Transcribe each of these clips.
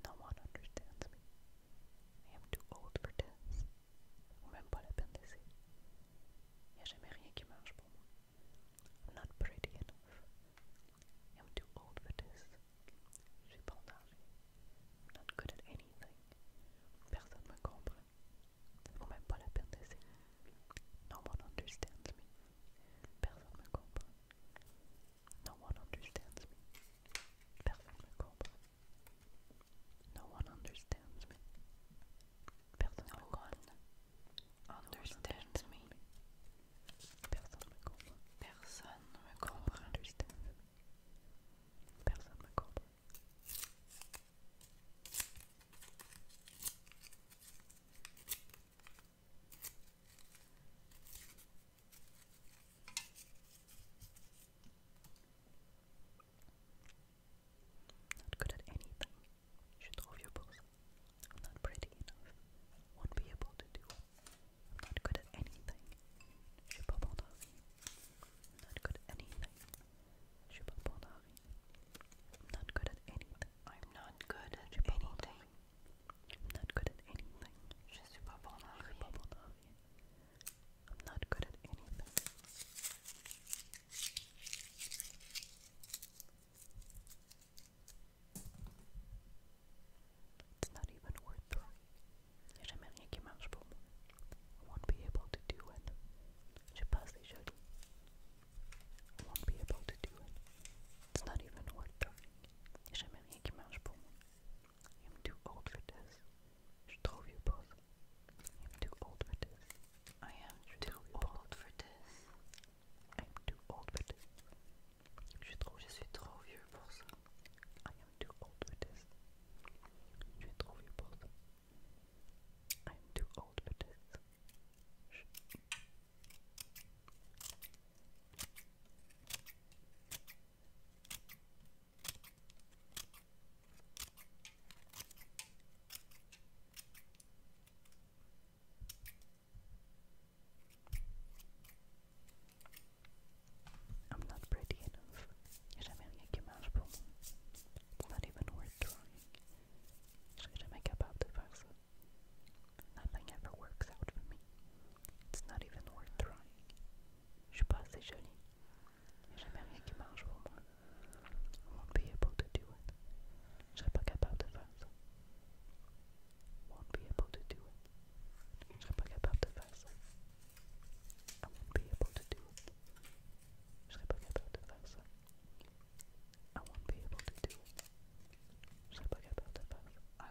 No one understands me. I am too old for this. Ou même pas la peine d'essayer. Il n'y a jamais rien qui I'm not pretty enough. I'm too old for this. i I'm not good at anything. Personne me comprend. Ou même pas la peine d'essayer. No one understands me. No one understands me. Personne ne comprend. No one understands me. Personne ne comprend. Understands me. Personne me comprend. Personne ne comprend. Personne me comprend. Not good at anything. You should off your balls. I'm not pretty enough. Won't be able to do I'm not good at anything. Şıpabonavi. I'm not good at anything. Şıpabonavi. I'm not good at anything. I'm not good at anything. I'm not good at anything. Je suis pas I'm not good at anything. It's not even worth trying. I won't be able to do it. I won't be able to do it. It's not even worth trying. Il n'y a jamais rien qui marche pour I am too old for this. Je trouve you both. I am too old for this. I am too old for this. I am too old for this. Je trouve je suis trop vieux pour ça. I am too old for this. Je trouve you both. I am too old for this. I'm not pretty enough. Should I make a mouse problem? It's not even worth trying. Should I make up out the fact Nothing ever works out for me. It's not even worth trying. Je suis pas assez jolie. Il jamais rien qui marche pour moi. I won't be able to do it. Je serai pas capable de faire ça. Won't be able to do it. Je serai pas capable de faire I won't be able to do it. Je serai pas capable de faire I won't be able to do it. Je serai pas capable de faire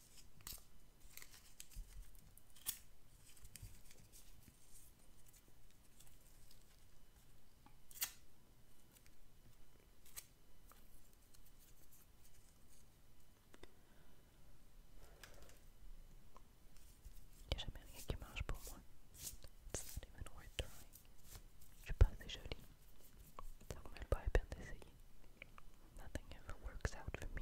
Il n'y a jamais rien qui marche It's not even worth trying. Je suis pas assez jolie. Ça vaut même pas la peine d'essayer. Nothing ever works out for me.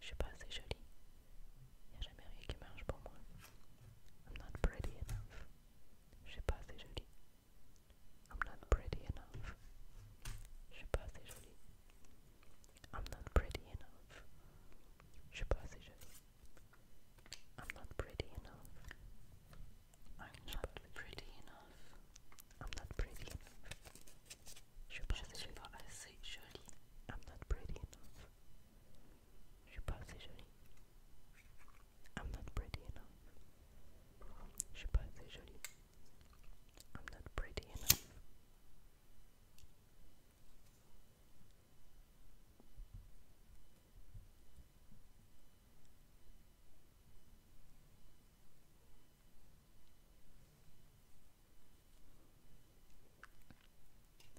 Je sais pas, assez joli. Il n'y a jamais rien qui marche pour moi. I'm not pretty enough. Je sais pas, assez joli. I'm not pretty enough. Je sais pas, assez joli. I'm not pretty enough. Je sais pas, c'est joli. I'm not pretty enough. I'm not pretty enough. I'm not pretty enough. Je sais pas, assez jolie. I'm not pretty enough. Je pas assez jolie. I'm not pretty enough. I'm not pretty enough.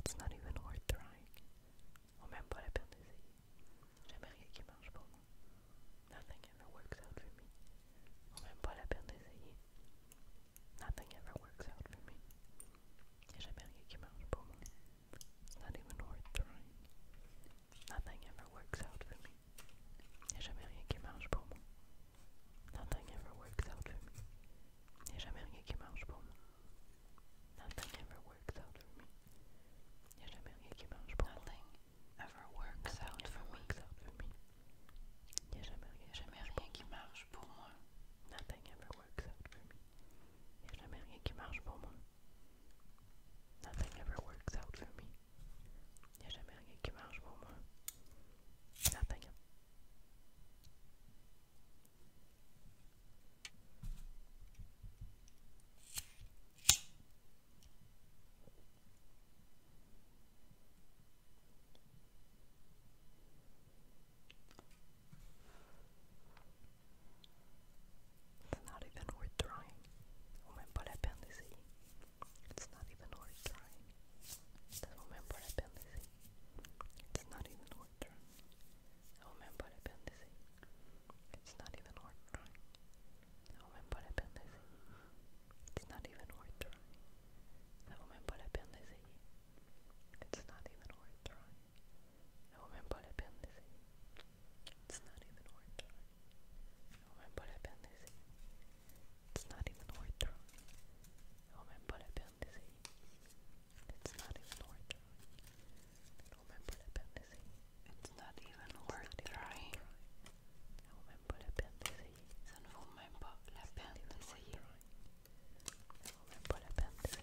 It's not even worth trying. Ou oh, même pas la peine d'essayer. Jamais rien qui marche pour moi. Nothing ever works out for me. Ou même pas la peine d'essayer. Nothing ever works out for me. Y'a jamais rien qui marche pour moi. It's not even worth trying. Nothing ever works out for me. Y'a jamais rien qui marche pour moi. Nothing ever works out for me. Il n'y a jamais rien qui marche Nothing ever works out for me. Il n'y a jamais rien qui marche Nothing Ever works out for me. out for me. Il n'y a jamais Nothing ever works out for me. Il n'y a jamais works for me. Nothing. It's not even worth trying. On même pas la peine d'essayer. It's not even worth trying aumentar a apêndice. It's not even worth trying. Aumentar a apêndice. It's not even worth trying. Aumentar a apêndice. It's not even worth trying. Aumentar a apêndice. It's not even worth trying. Aumentar a apêndice. It's not even worth trying. a apêndice. It's not even it's not even worth trying. I don't remember the pendency. It's not even worth trying. Even trying. I remember the pendency. Sen får man bara läppen sig. I remember the pendency.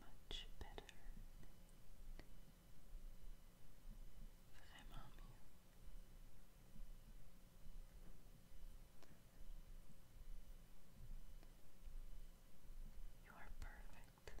Much better. Vraiment mieux. You are perfect.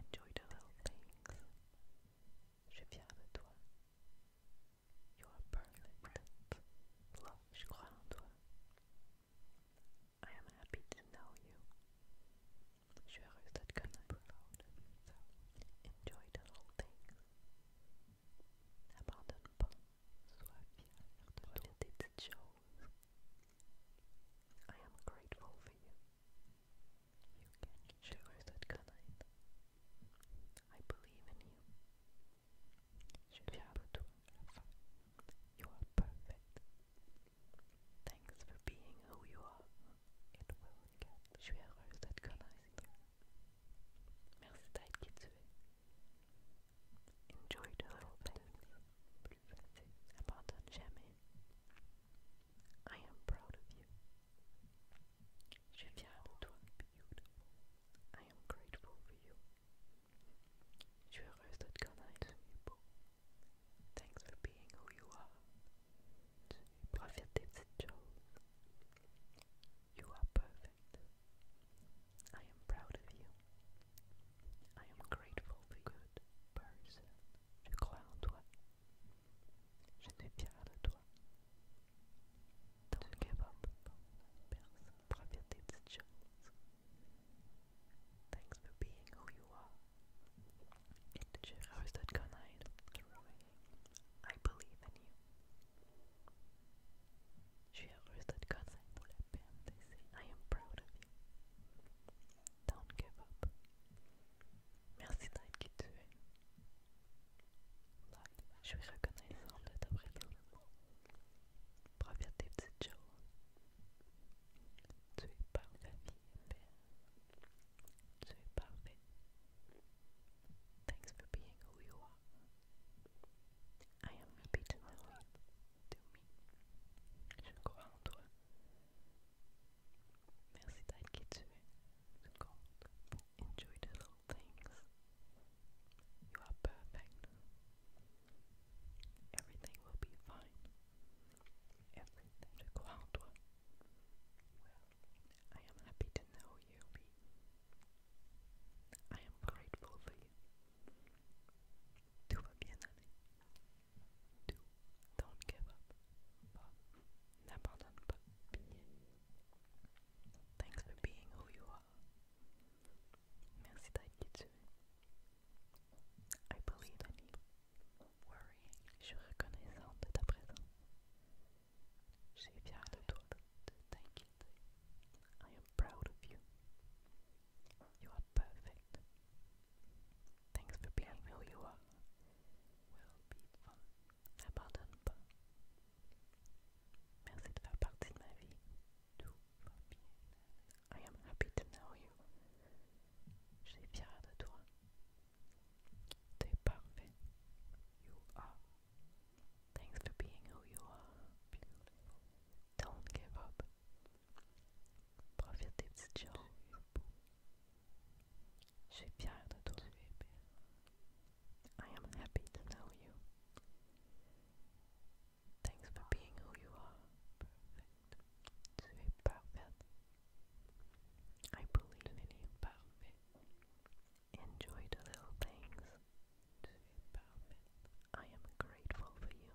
Enjoy the little things. Je suis de toi. You are perfect. Love, je crois en toi. I am happy to know you. Je suis heureuse de te connaître. enjoy the little things. N'abandonne pas. Sois fière de toi. Des petites choses. I am grateful for you. You can choose that kind. I believe in you. You are perfect. Thanks for being who you are. It will get. Je suis heureuse d'être Merci d'être qui Enjoie de repas. Plus facile, abandonne jamais. I am proud of you. Je suis fier de toi. Beautiful. I am grateful for you. Je suis heureuse de te connaître. Tu es beau. Thanks for being who you are. Tu profites des petites choses. You are perfect. I am proud of you. I am grateful the good person. Je crois en toi. Je suis fier for being who you are. Et je reste de connaître. I believe in you. Je suis heureuse de te connaître. I am proud of you. Don't give up. Merci d'être qui tu es. Là, je suis reconnaissante de ta présence. Profite petites choses. Tu es parfait, vie et Tu Thanks for being who you are. I am happy to know you me. Je crois en toi. Merci d'être qui Enjoy little things. You are perfect. Everything will be fine. I am happy to know you. I am grateful for you. 2. Don't give up. But n'abandonne pas. Thanks for being who you are. Merci d'être qui I believe in you. Worry. Je suis reconnaissante de ta présence. Je fière de toi, de t'inquiéter. I am proud of you. You are perfect. Thanks for being who you are. Will be fun. Je ah, Merci de faire partie de ma vie. Tout va bien. I am happy to know you. Je suis fière de toi. T'es parfait. You are. Thanks for being who you are. Beautiful. Don't give up. I am happy to know you. Thanks for being who you are. I believe in you. Enjoy the little things. I am grateful for you.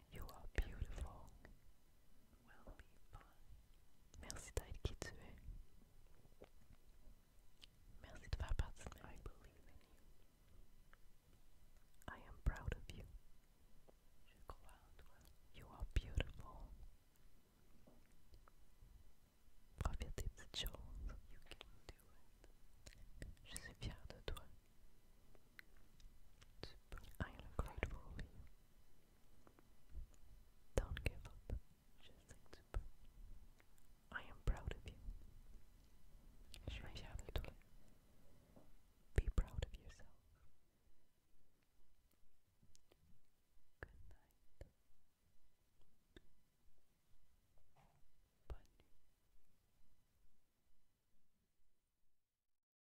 You are beautiful. Merci d'être qui Merci de faire partie de I believe in you. I am proud of you. You are beautiful. Profite des petites choses. You can do it. Je suis fière de toi. I am grateful for you. Don't give up, just think super. I am proud of you. Je suis fier de toi. Be proud of yourself. Good night.